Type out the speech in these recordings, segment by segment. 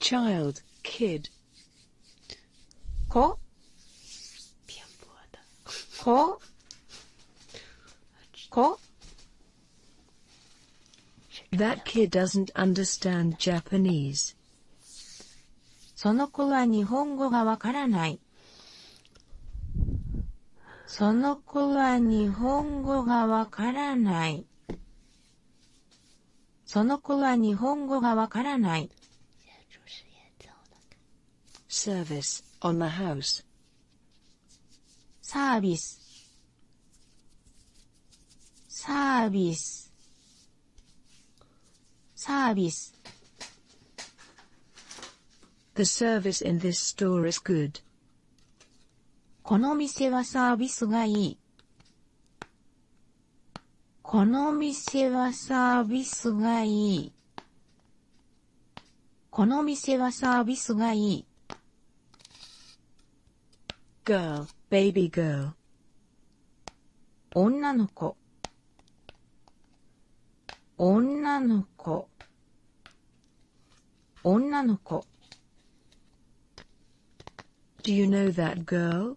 child, kid. Ko. Ko. Ko. That kid doesn't understand Japanese. その子は日本語がわからない。その子は日本語がわからない。その子は日本語がわからない。service on the house サービスサービスサービス The service in this store is good. この店はサービスがいい。この店はサービスがいい。この店はサービスがいい。girl, baby girl 女の子女の子女の子 Do you know that girl?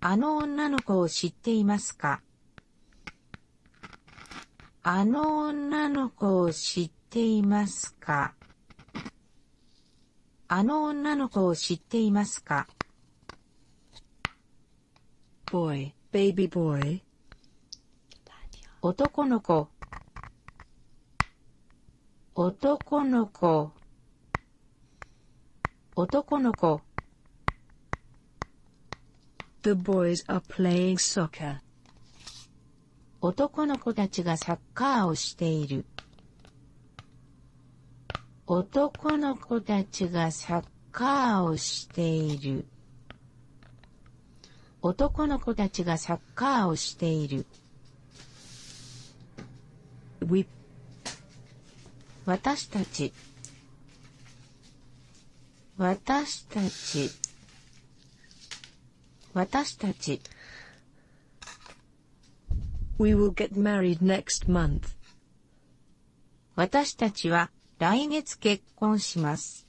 あの女の子を知っていますかあの女の子を知っていますかあの女の子を知っていますか boy, baby boy 男の子男の子男の子 The boys are playing soccer 男の子たちがサッカーをしている。男の子たちがサッカーをしている。男の子たちがサッカーをしている。私たち私たち私たち We will get married next month. 私たちは来月結婚します。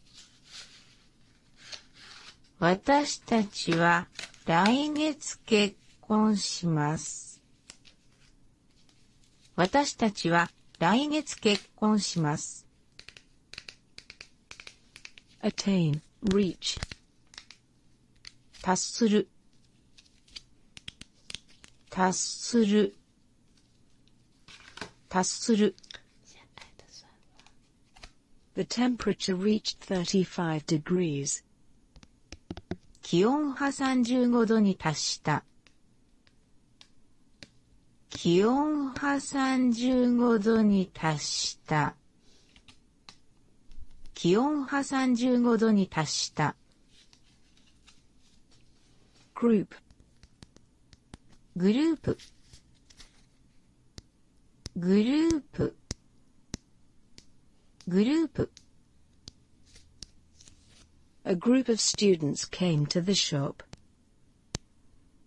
私たちは来月結婚します。達する達する達する The temperature reached 35 degrees. 気温は35度に達した。気温は35度に達した。気温波35度に達した。グループグループグループグループ A group of students came to the shop.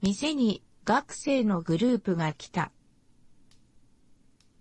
店に学生のグループが来た。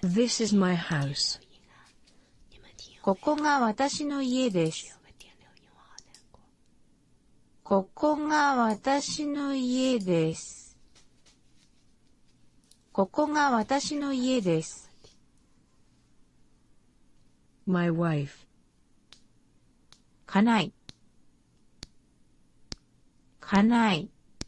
This is my house. ここが私の家です。ここが私の家です。ここが私の家です。my wife かない。かない。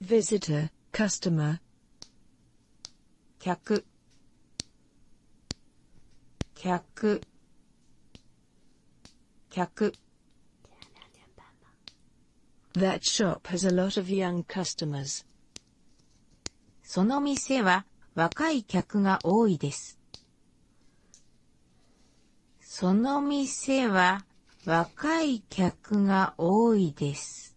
visitor, customer 客客客 That shop has a lot of young customers. その店は若い客が多いです。その店は若い客が多いです。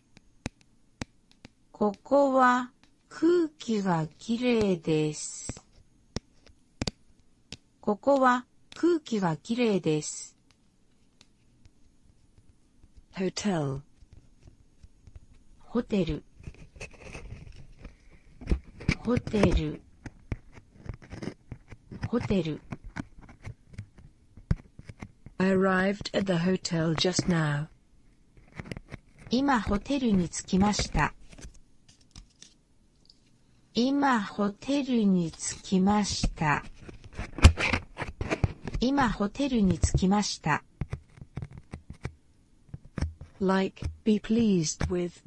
ここは空気がきれいです。ホテルホテルホテル I arrived at the hotel just now. 今ホテルに着きました。今ホテルに着きました。今ホテルに着きました。like, be pleased with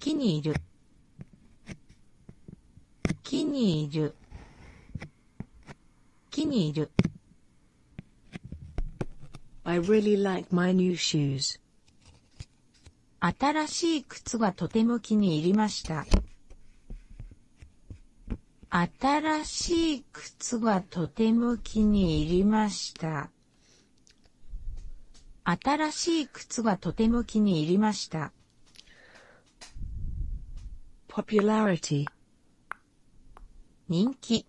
気に入る気に入る気にいる。I r e 新しい靴がとても気に入りました。新しい靴がとても気に入りました。新しい靴がとても気に入りました。popularity 人気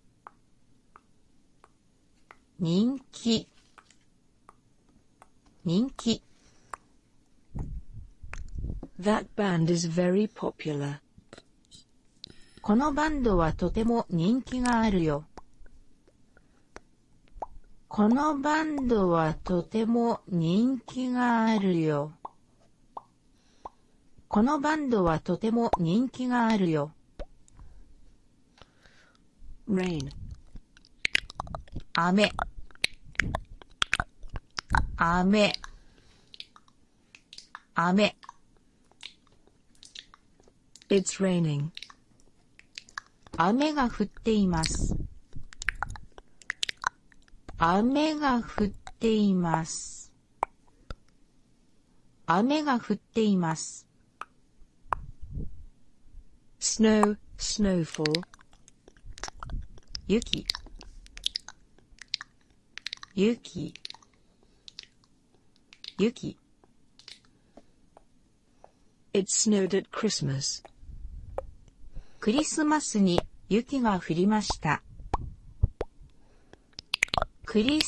人気人気 That band is very popular このバンドはとても人気があるよこのバンドはとても人気があるよ。このバンドはとても人気があるよ。r 雨雨雨雨が降っています。雨が降っています。雨が降っています。snow, snowfall 雪雪雪 It snowed at Christmas. クリスマスに雪が降りました。gather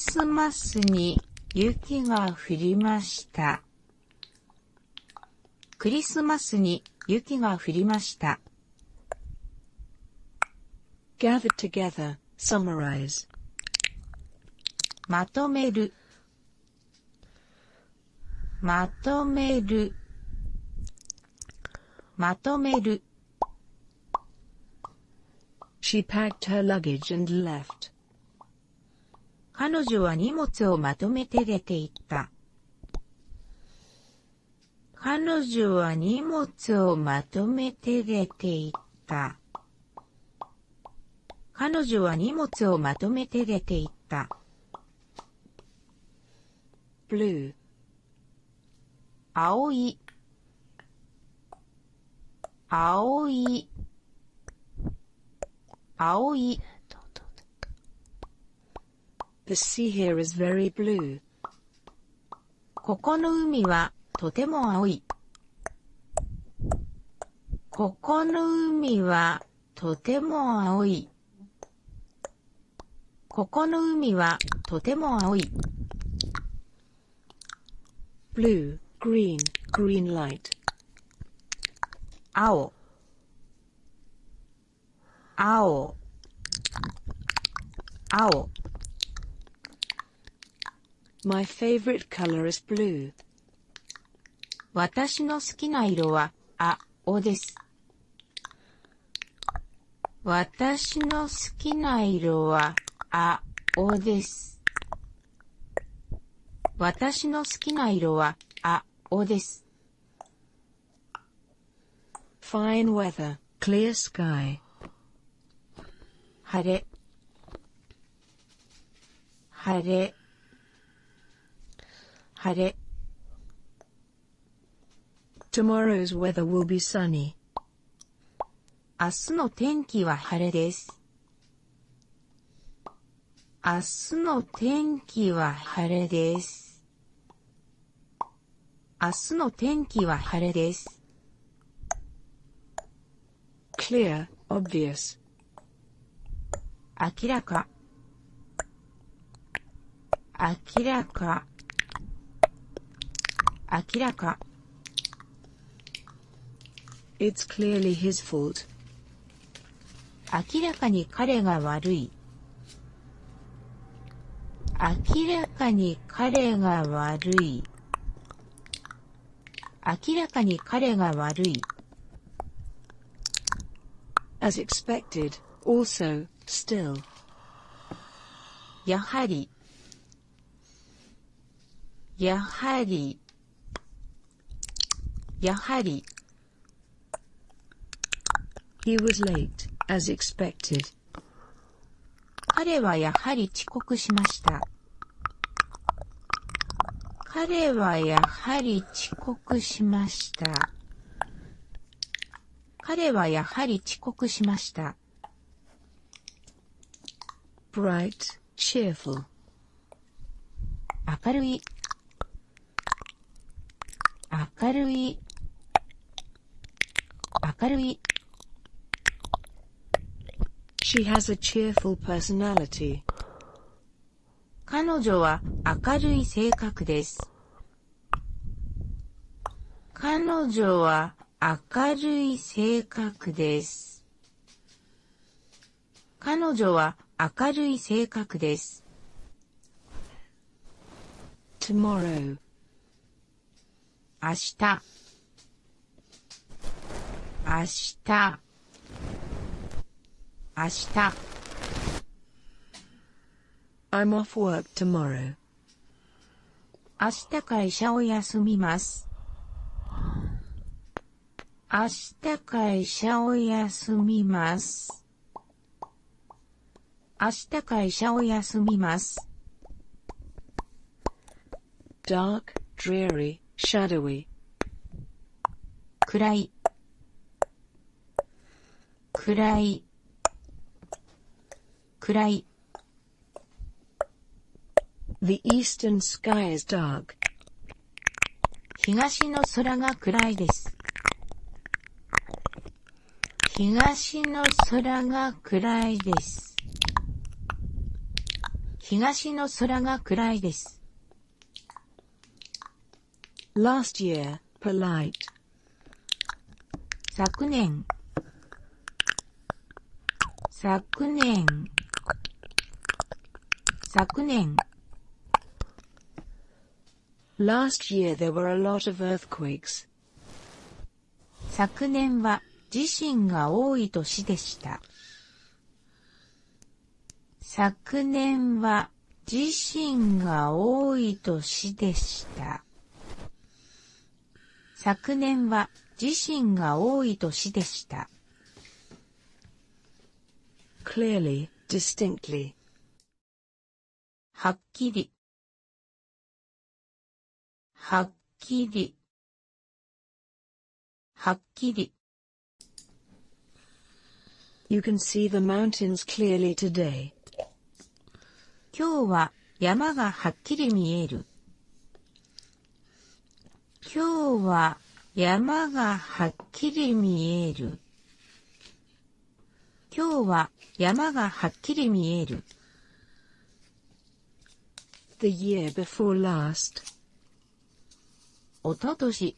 together, summarize. まとめるまとめるまとめる She packed her luggage and left. 彼女は荷物をまとめて出て行った。彼女は荷物をまとめて出て行った。彼女は荷物をまとめて出て行った。青い青い青い The sea here is very blue ここの海はとても青いここの海はとても青い。ここの海はとても青い。blue, green, green light. 青青青 My favorite color is blue. 私の好きな色は青です。私の好きな色は青です。私の好きな色は青です。Fine 晴れ晴れ晴れ Tomorrow's weather will be sunny. 明日の天気は晴れです。明日の天気は晴れです。明日の天気は晴れです。clear, obvious. 明らか明らか、明らか。It's clearly his fault. 明らかに彼が悪い。明らかに彼が悪い。明らかに彼が悪い。As expected, also. still, やはりやはりやはり彼はやはり遅刻しました。彼はやはり遅刻しました。彼はやはり遅刻しました。bright, cheerful 明るい明るい明るい She has a cheerful personality. 彼女は明るい性格です。彼女は明るい性格です。彼女は明るい性格です。tomorrow 明日明日明日 I'm off work tomorrow. 明日会社を休みます。明日会社を休みます。dark, dreary, shadowy 暗い暗い暗い The eastern sky is dark. 東の空が暗いです。東の空が暗いです。東の空が暗いです。Last year, polite. 昨年昨年昨年 Last year there were a lot of earthquakes. 昨年は地震が多い年でした。昨年は地震が多い年でした。昨年は自身が多い年でした。clearly, distinctly はっきりはっきりはっきり You can see the mountains clearly today. 今日は山がはっきり見える。今日は山がはっきり見える。今日は山がはっきり見える。おととし。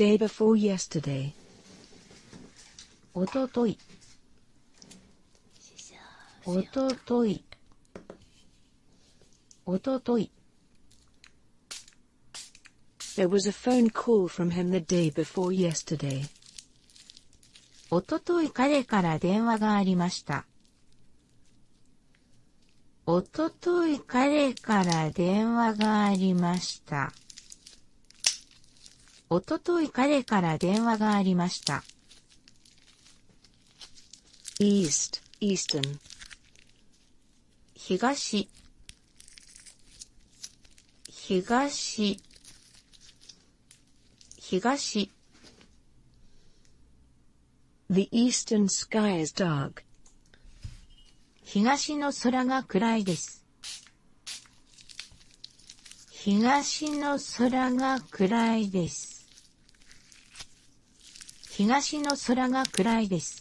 day before yesterday おとといおとといおととい There was a phone call from him the day before yesterday. おととい彼から電話がありました。おととい彼から電話がありました。おととい彼から電話がありました。east, e a s t 東東東 The eastern sky is dark. 東の空が暗いです。東の空が暗いです。東の空が暗いです。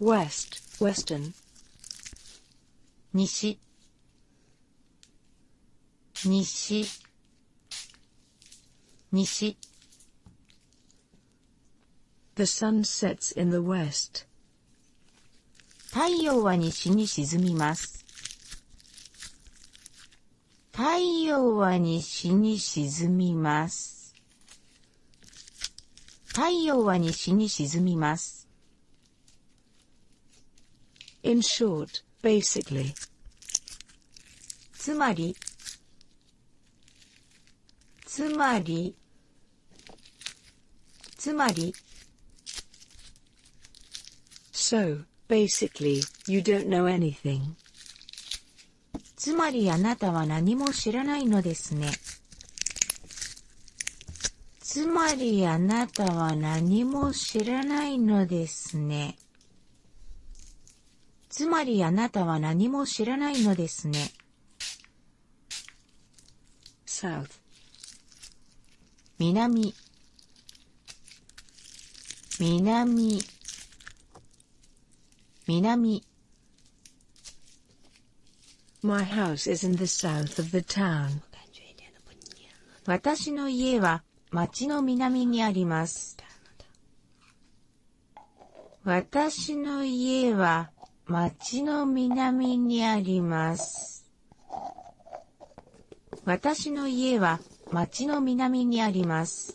west, western 西西西 The sun sets in the west. 太陽は西に沈みます。太陽は西に沈みます。太陽は西に沈みます。In short, basically. つまり、つまりつまり So, basically, you don't know anything. つまりあなたは何も知らないのですね。つまりあなたは何も知らないのですね。つまりあなたは何も知らないのですね。south 南南南 My house is in the south of the town. 私の家は町の南にあります。私の家は町の南にあります。私の家は町の南にあります。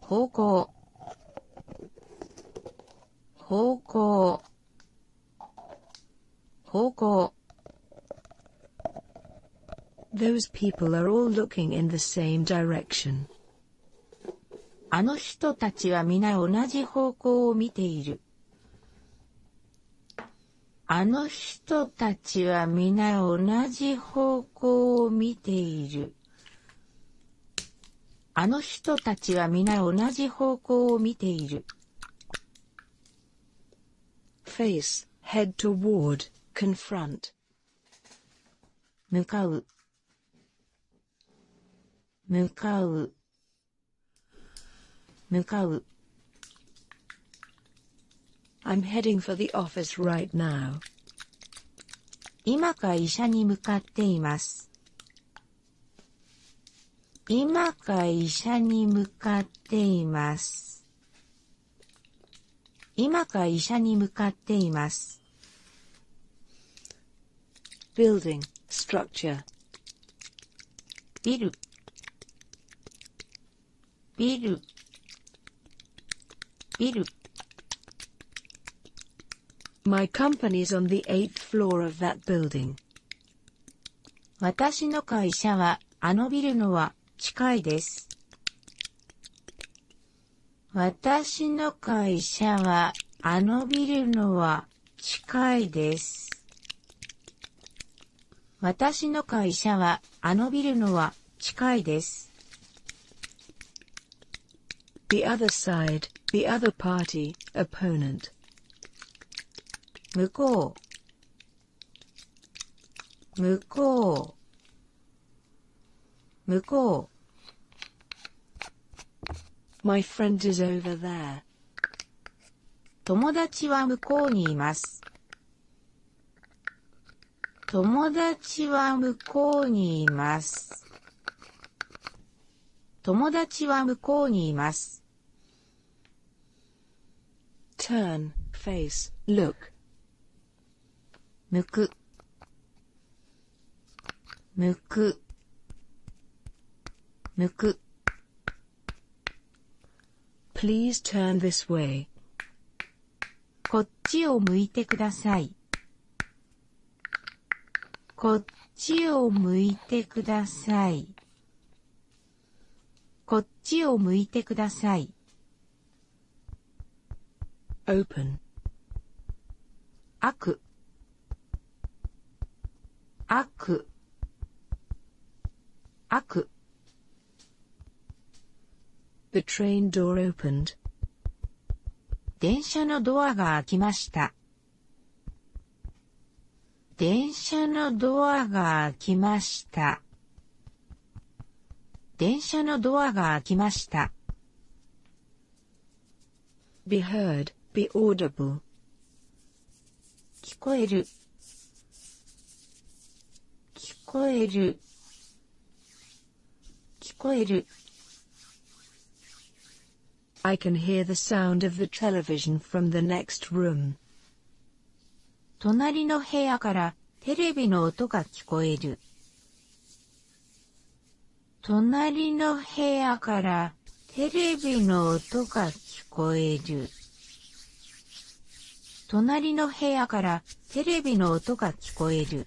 方向方向方向 Those people are all looking in the same direction. あの人たちは皆同じ方向を見ている。あの人たちは皆同じ方向を見ている。あの人たちは皆同じ方向を見ている。face, head toward, confront. 向かう向かう向かう I'm heading for the office right now. 今か医者に向かっています。今か医者に向かっています。今か医者に向かっています。building, structure ビルビルビル My company's on the eighth floor of that building. 私の会社はあのビルのは近いです。私の会社はあのビルのは近いです。私の会社はあのビルのは近いです。The other side, the other party, opponent. 向こう向こう向こう My friend is over there. 友達は向こうにいます。友達は向こうにいます。友達は向こうにいます。turn, face, look 向く向く向く Please turn this way こっちを向いてください。こっちを向いてください。こっちを向いてください。open 悪悪悪 The train door opened. 電車のドアが開きました。電車のドアが開きました。電車のドアが開きました。be heard, be 聞こえる聞こえる聞こえる I can hear the sound of the television from the next room. 隣の部屋からテレビの音が聞こえる。隣の部屋からテレビの音が聞こえる。隣の部屋からテレビの音が聞こえる。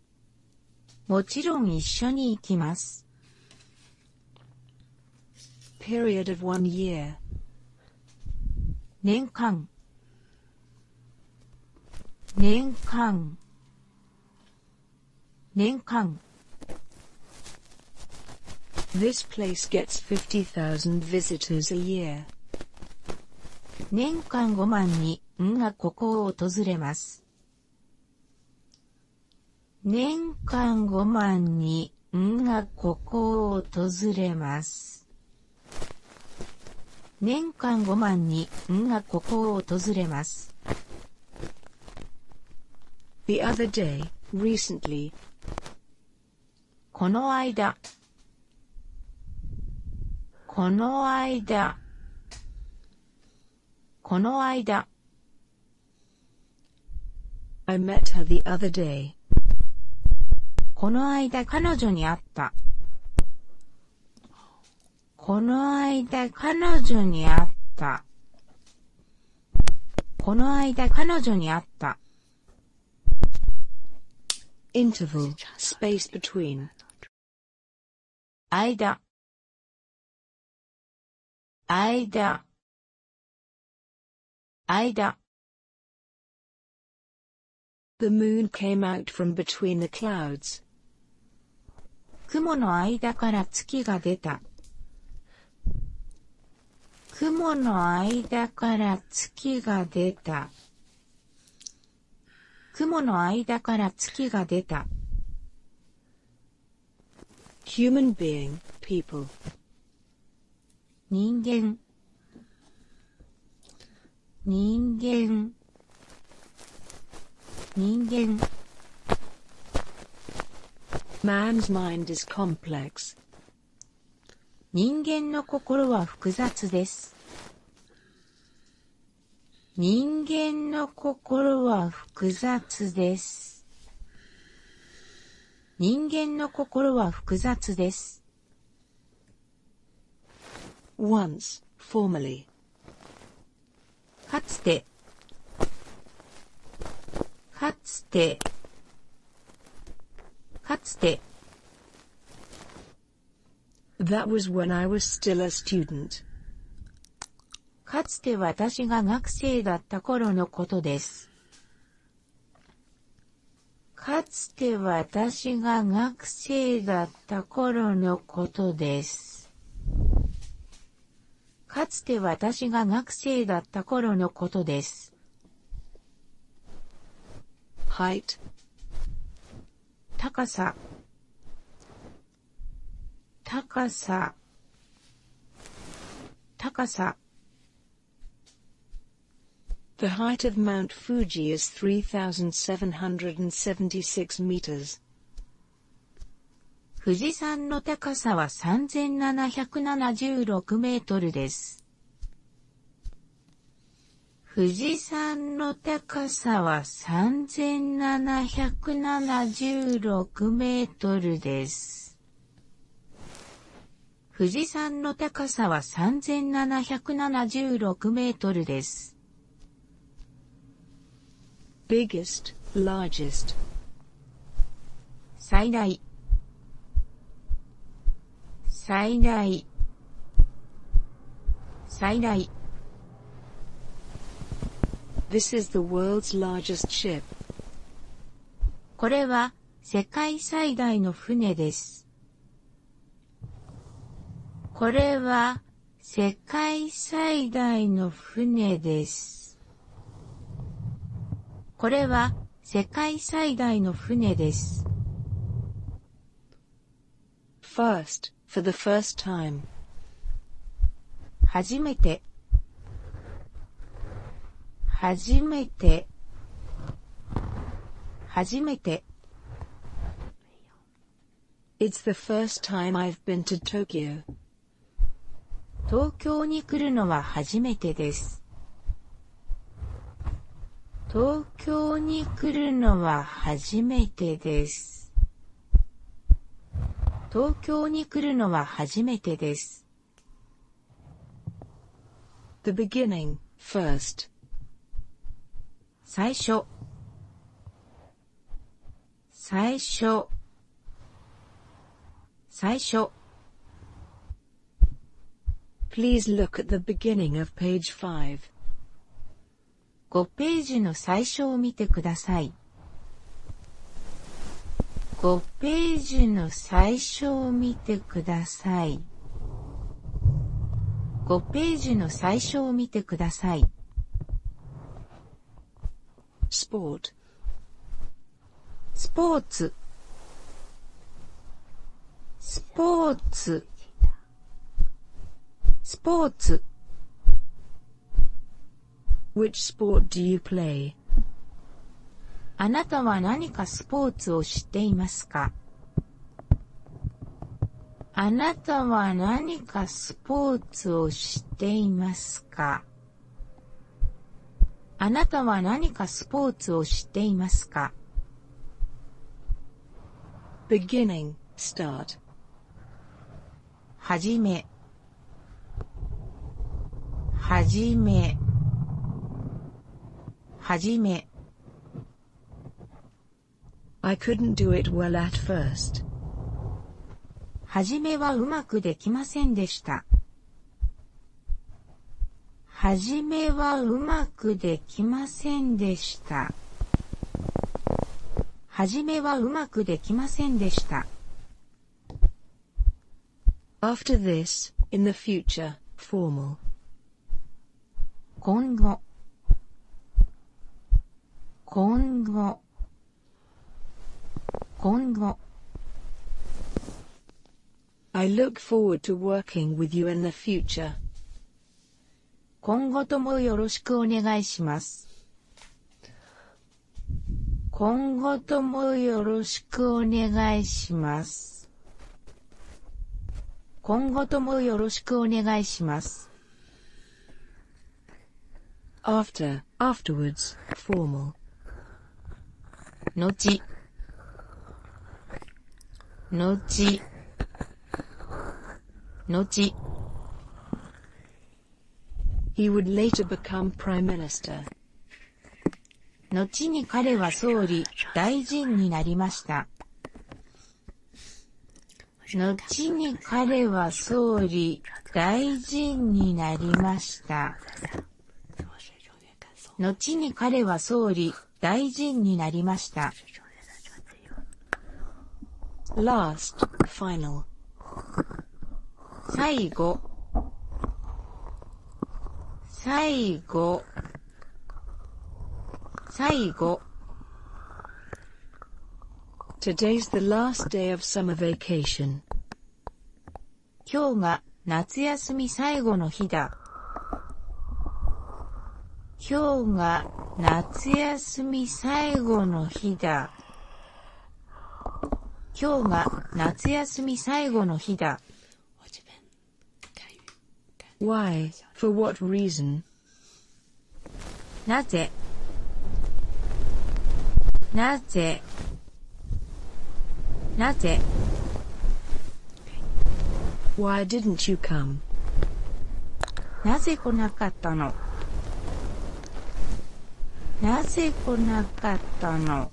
もちろん一緒に行きます。period of one year 年間年間年間 This place gets 50,000 visitors a year 年間5万にんがここを訪れます。年間5万にんがここを訪れます。年間5万にんがここを訪れます。この間、この間、この間。I met her the other day. この間彼女に会った。この間彼女に会った。この間彼女に会った。interval, space between. 間間間 The moon came out from between the clouds. 雲の間から月が出た。雲の間から月が出た。雲の間から月が出た。human being, people. 人間人間人間 Man's mind is complex. 人間の心は複雑です。人間の心は複雑です。人間の心は複雑です。once, f o r m e かつて、かつて、かつて、That was when I was still a student. かつて私が学生だった頃のことです。かつて私が学生だった頃のことです。かつて私が学生だった頃のことです。height 高さ高さ高さ The height of Mount Fuji is 3,776 meters. 富士山の高さは3776メートルです。富士山のの高さは3776メートルです。富士山の高さは3776メートルです。最大最大最大 This is the world's l a r これは世界最大の船です。これは世界最大の船です。これは世界最大の船です。f i r s for the first time. 初めて初めて初めて It's the first time I've been to Tokyo. 東京に来るのは初めてです。東京に来るのは初めてです。東京に来るのは初めてです。The beginning, first. 最初最初最初 Please look at the beginning of page 5. 5ページの最初を見てください。5ページの最初を見てください。5ページの最初を見てください。スポーツ。スポーツ。スポーツ。スポーツ。Which sport do you play? あなたは何かスポーツを知っていますかあなたは何かスポーツを知っていますかあなたは何かスポーツを知っていますか beginning, start はじめ、はじめ、はじめ。I couldn't do it well at first. はじめはうまくできませんでした。はじめはうまくできませんでした。はじめはうまくできませんでした。After this, in the future, formal. 今後今後今後 I look forward to working with you in the future. 今後ともよろしくお願いします。今後ともよろしくお願いします。今後ともよろしくお願いします。after, afterwards, formal. 後、後、後、後に彼は総理、大臣になりました。後に彼は総理、大臣になりました。後に彼は総理、大臣になりました。last, final 最後最後最後 Today's the last day of summer vacation 今日が夏休み最後の日だ今日が夏休み最後の日だ。今日が夏休み最後の日だ。Why? For what reason? なぜなぜなぜ Why didn't you come? なぜ来なかったのなぜ来なかったの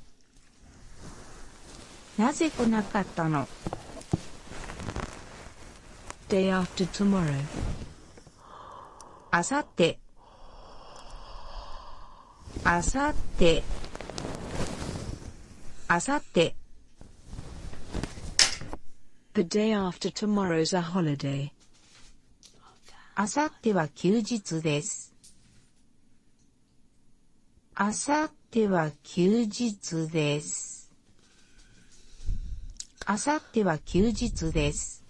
なぜ来なかったの Day after tomorrow. あさって。あさって。あさって。The day after tomorrow's a holiday. あさっては休日です。あさっは休日です。あさっは休日です。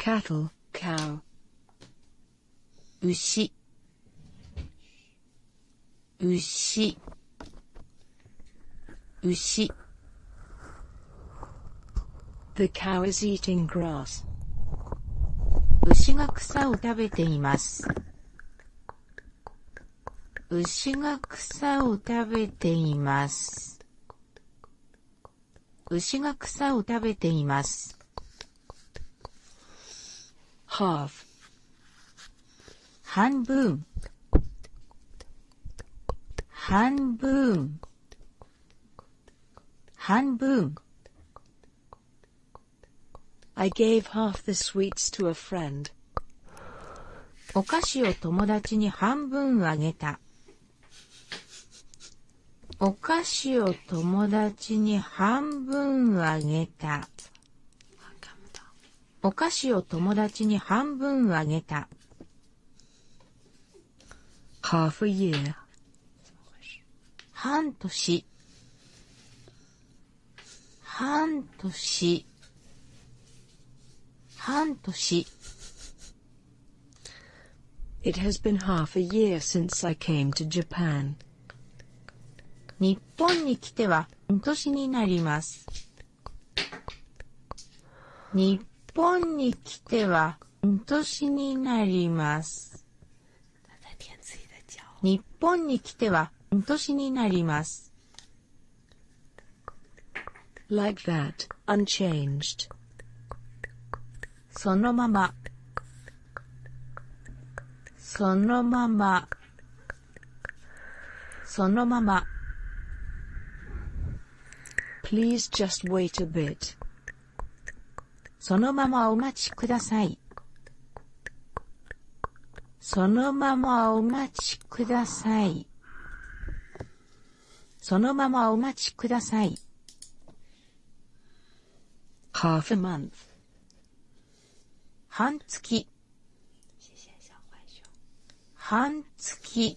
c a t t 牛牛牛 The cow is eating grass. 牛が草を食べています。牛が草を食べています。牛が草を食べています。half 半分半分半分 I gave half the sweets to a friend. お菓子を友達に半分あげた。お菓子を友達に半分あげた。お菓子を友達に半分あげた。half a year 半年半年半年 It has been half a year since I came to Japan. 日本に来ては半年になります。日本に来ては、年になります。日本に来ては、年になります。Like that, unchanged. そのまま。そのまま。そのまま。Please just wait a bit. そのままお待ちください。そのままお待ちください。そのままお待ちください。half a month 半月半月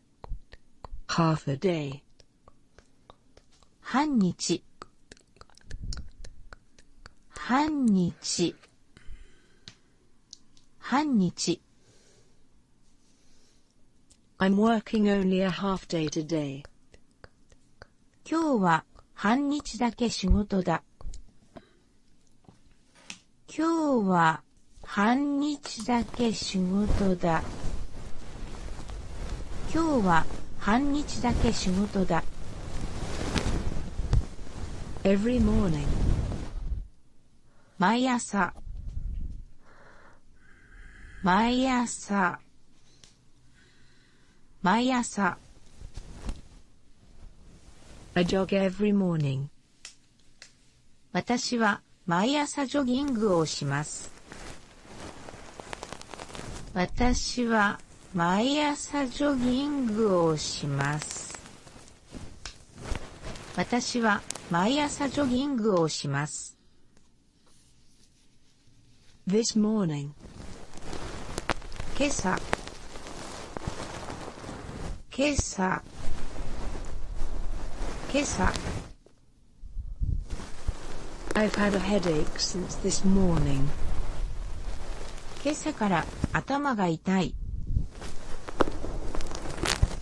half a day 半日半日半日 I'm working only a half day today 今日は半日だけ仕事だ今日は半日だけ仕事だ。今日は半日だけ仕事だ。Every morning 毎朝毎朝毎朝 I jog every morning 私は毎朝ジョギングをします。私は毎朝ジョギングをします。私は毎朝ジョギングをします。This morning 今朝今朝朝今朝 I've had a headache since this morning. 今朝から頭が痛い。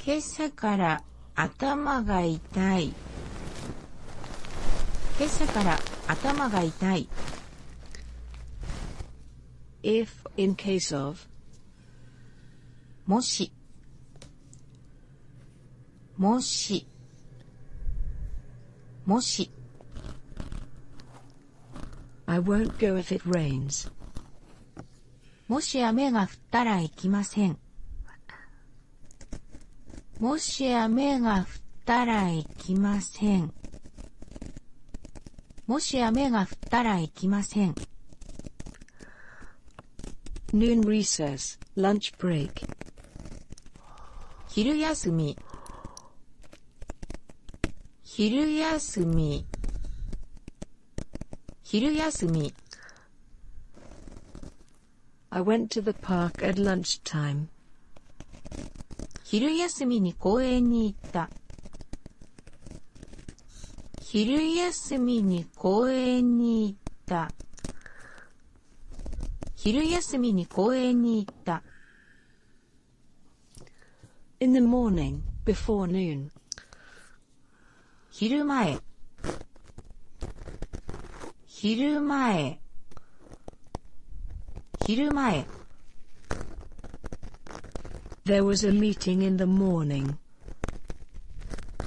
今朝から頭が痛い。今朝から頭が痛い。If, in case of, もし、もし、もし。I won't go if it rains. もし雨が降ったら行きません。もし雨が降ったら行きません。もし雨が降ったら行きません。noon recess, lunch break. 昼休み昼休み昼休み I went to the park at lunchtime. 昼休みに公園に行った昼休みにで公園に行った。昼休みに公園に行った。in the morning, before noon. 昼前昼前昼前 There was a meeting in the morning.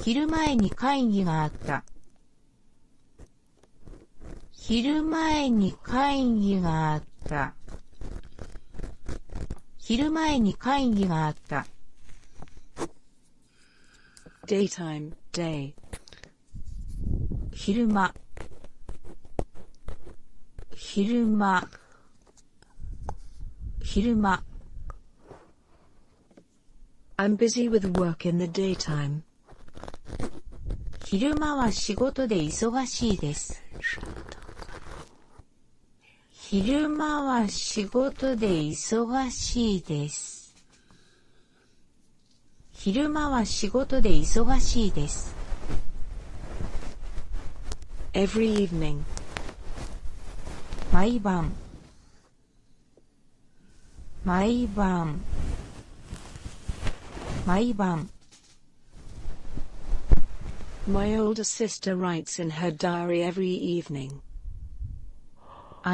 昼前に会議があった。昼前に会議があった。昼前に会議があった。daytime, day 昼間昼間昼間 I'm busy with work in the daytime. 昼間は仕事で忙しいです。昼間は仕事で忙しいです。昼間は仕事で忙しいです。Every evening 毎晩毎晩毎晩 My older sister writes in her diary every evening.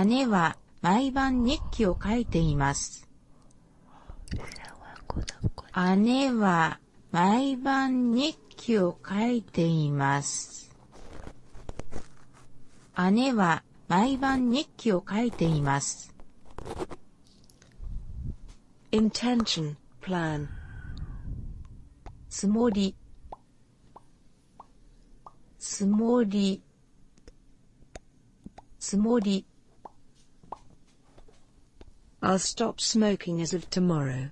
姉は毎晩日記を書いています。姉は毎晩日記を書いています。姉は毎晩日記を書いています。intention, plan つもりつもりつもり I'll stop smoking as of tomorrow.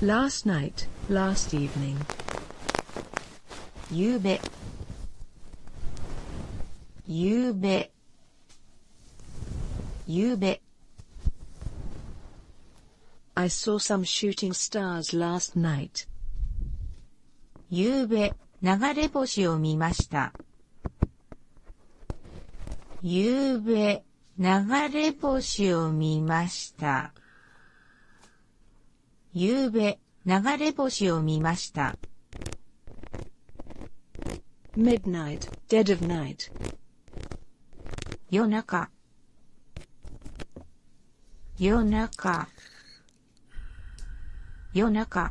last night, last evening. ゆうべゆうべゆうべ I saw some shooting stars last night. ゆうべ、流れ星を見ました。ゆうべ、流れ星を見ました。ゆうべ、流れ星を見ました。midnight, dead of night 夜中夜中夜中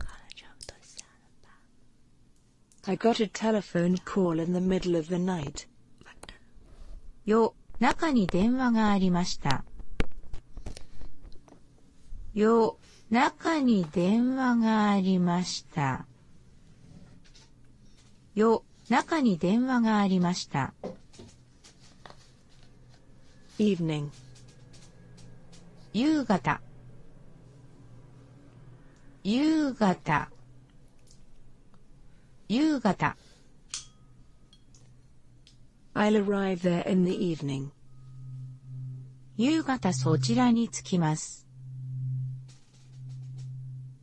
I got a telephone call in the middle of the night. よ、中に電話がありました。よ、中に電話がありました。よ、中に電話がありました。e v e 夕方夕方夕方 I'll arrive there in the evening. 夕方そちらに着きます。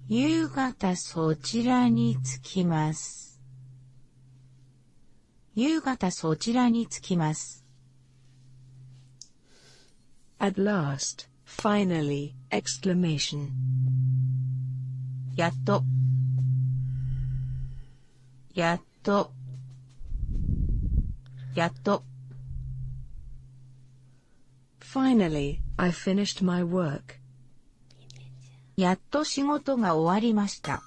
夕方そちらに着きます。夕方そちらに着きます。At last, finally, やっと。やっと。やっと。やっと仕事が終わりました。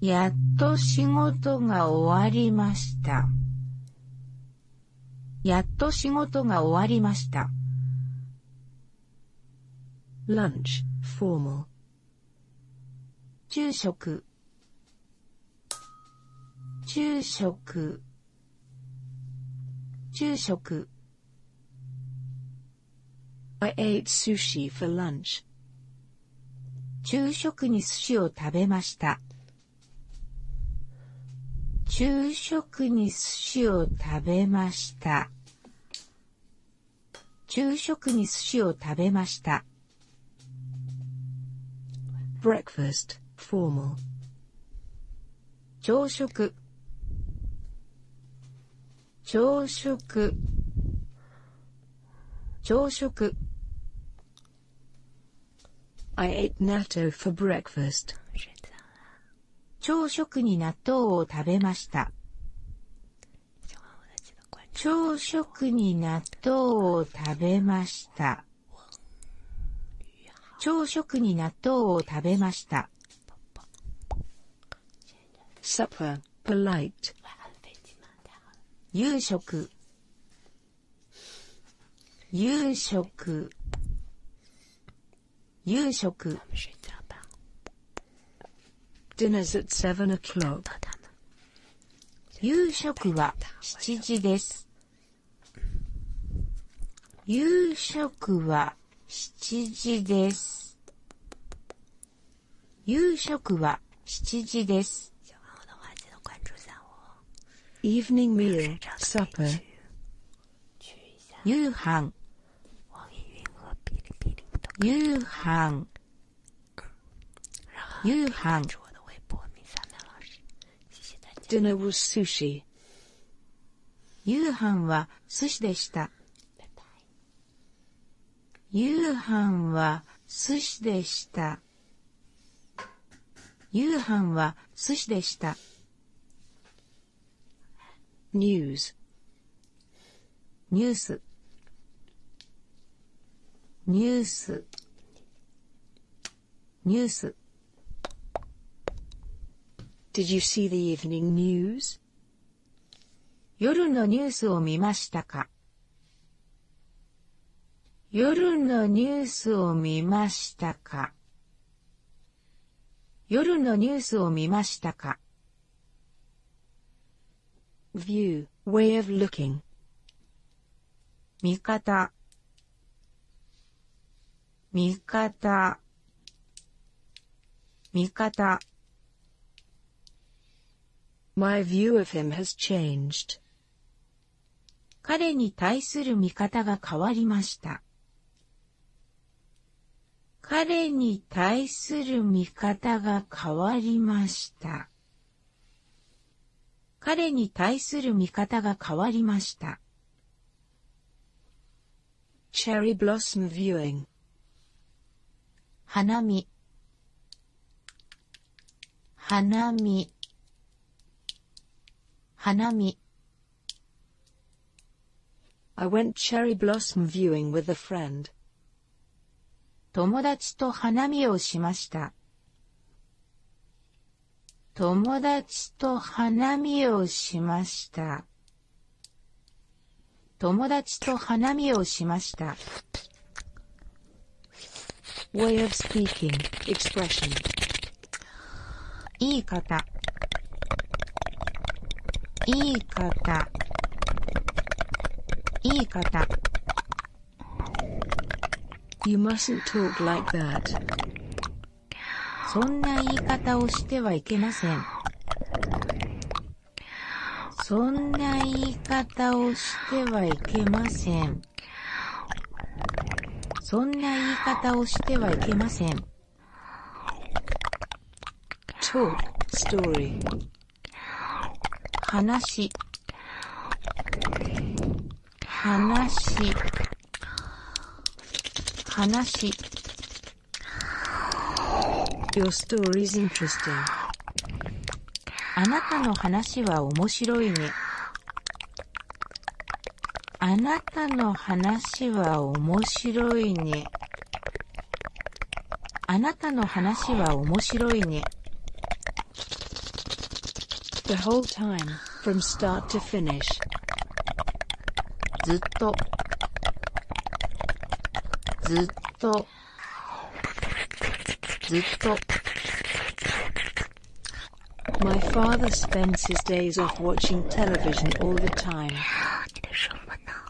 やっと仕事が終わりました。やっと仕事が終わりました。lunch, formal 昼食昼食昼食 I ate sushi for lunch 昼食に寿司を食べました昼食食に寿司を食べました。昼食に寿司を食べました。breakfast, formal. 朝食朝食朝食 I ate natto for breakfast. 朝食に納豆を食べました。朝食に納豆を食べました。朝食に納豆を食べました。supper, p o l i t 夕食夕食夕食 Dinner's at seven o'clock. 夕食は7時です。夕食は7時です。夕食は7時です。Evening meal, supper. 夕飯夕飯。夕飯。哔哩哔哩的约夕飯は寿司でした。夕飯は寿司でした。夕飯は寿司でした。ニュースニュースニュース Did you see the evening news? 夜のニュースを見ましたか夜のニュースを見ましたか view, way of looking 見方見方見方 My view of him has changed. 彼に対する見方が変わりました。彼に対する見方が変わりました。彼に対する見方が変わりました。Cherry Blossom v 花見花見花見 I went cherry blossom viewing with a friend. 友達と花見をしました。友達と花見をしました。友達と花見をしました。way of speaking, expression. いい方いい方いい方そんな言い方をしてはいけません。そんな言い方をしてはいけません。そんな言い方をしてはいけません。talk story 話話話 Your story is interesting あなたの話は面白いねあなたの話は面白いね。あなたの話は面白いね。The whole time, from start to finish. ずっと。ずっと。ずっと。My father spends his days off watching television all the time.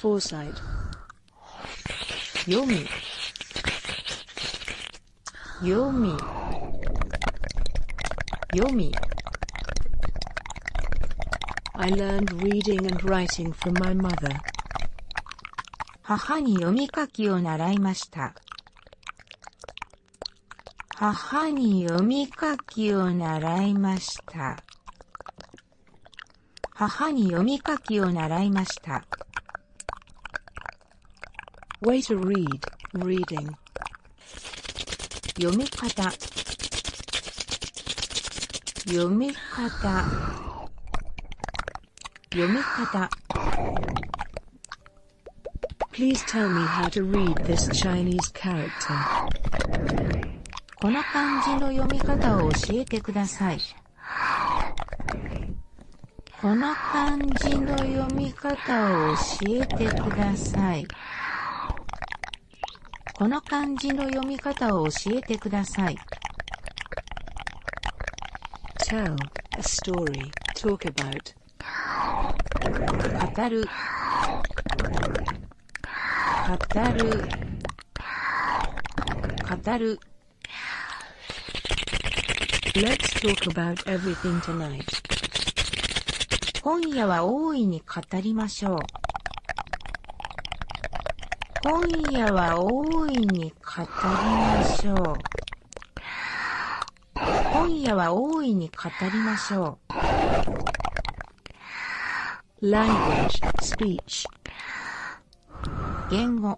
Foresight 読み読み読み I learned reading and writing from my mother 母に読み書きを習いました母に読み書きを習いました。母に読み書きを習いました。Way to read, reading. 読み方読み方読み方 Please tell me how to read this Chinese character. この漢字の読み方を教えてください。この漢字の読み方を教えてください。この漢字の読み方を教えてください。Tell a story, talk about. 語る。語る。語る。Let's talk about everything tonight. 今夜は大いに語りましょう。今夜は大いに語りましょう。今夜は大いに語りましょう。language, speech 言語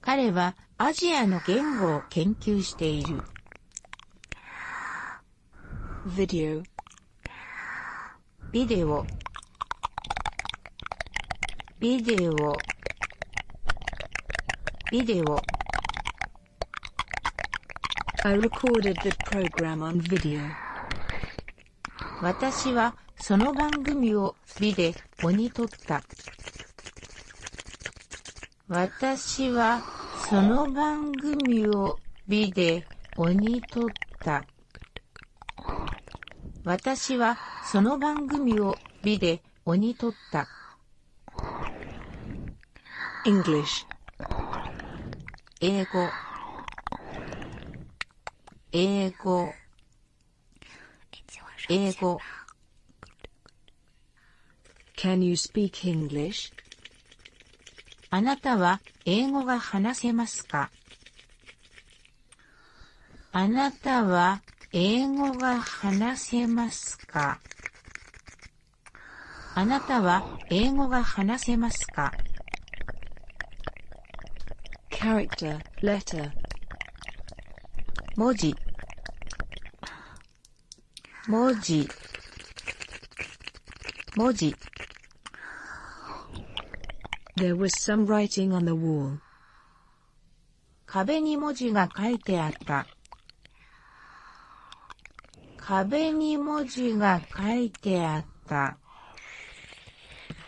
彼はアジアの言語を研究している。v i d ビデオビデオビデオ私はその番組ををビデオった。私はその番組を美で鬼取った。私はその番組をビデオにった。English 英語英語英語 a n you s a あなたは英語が話せますかあなたは英語が話せますかあなたは英語が話せますか character, letter 文字文字文字 There was some writing on the wall. 壁に文字が書いてあった。壁に文字が書いてあった。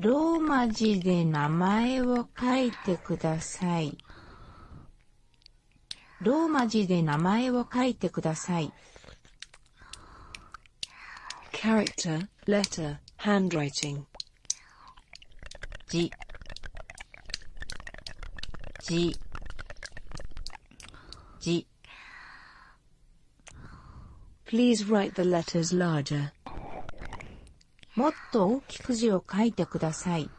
ローマ字で名前を書いてください。ローマ字で名前を書いてください。character, letter, Please write the letters larger. もっと大きく字を書いてください。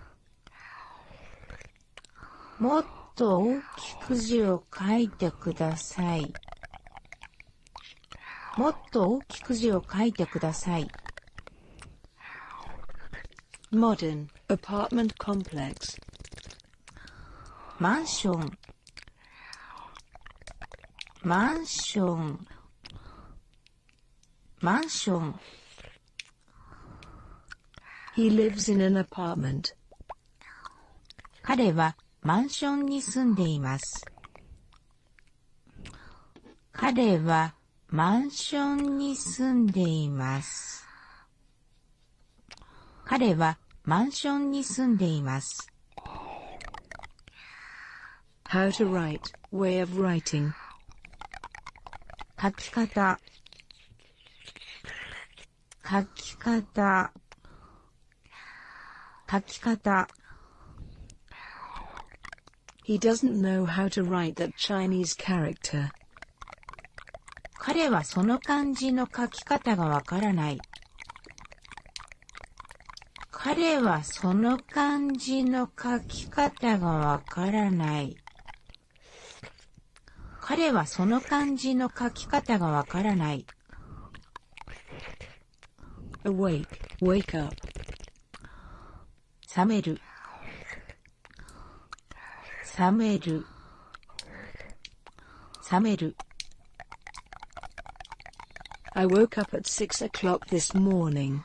もっと大きく字を書いてください。もっと大きく字を書いてください。Modern apartment complex マンションマンションマンション彼はマンションに住んでいます。彼はマンションに住んでいます。彼はマンションに住んでいます。How to write, way of writing. 書き方書き方書き方 He doesn't know how to write that Chinese character. 彼はその漢字の書き方がわからない。彼はその感じの書き方がわからない。彼はその感じの書き方がわからない。awake, wake up. 覚める。覚める。覚める。I woke up at 6 o'clock this morning.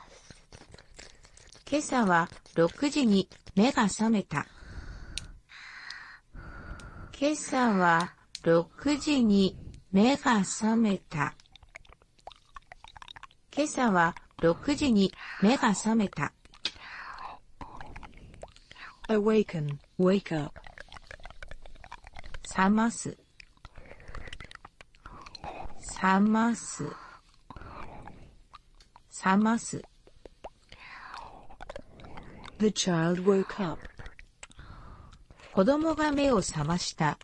今朝は6時に目が覚めた。今朝は6時に目が覚めた。今朝は6時に目が覚めた。awaken, wake up. 覚ます。冷ます。冷ます。The 子供が目を覚ました。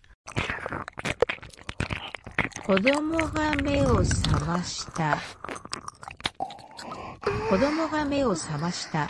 子供が目を覚ました。子供が目を覚ました。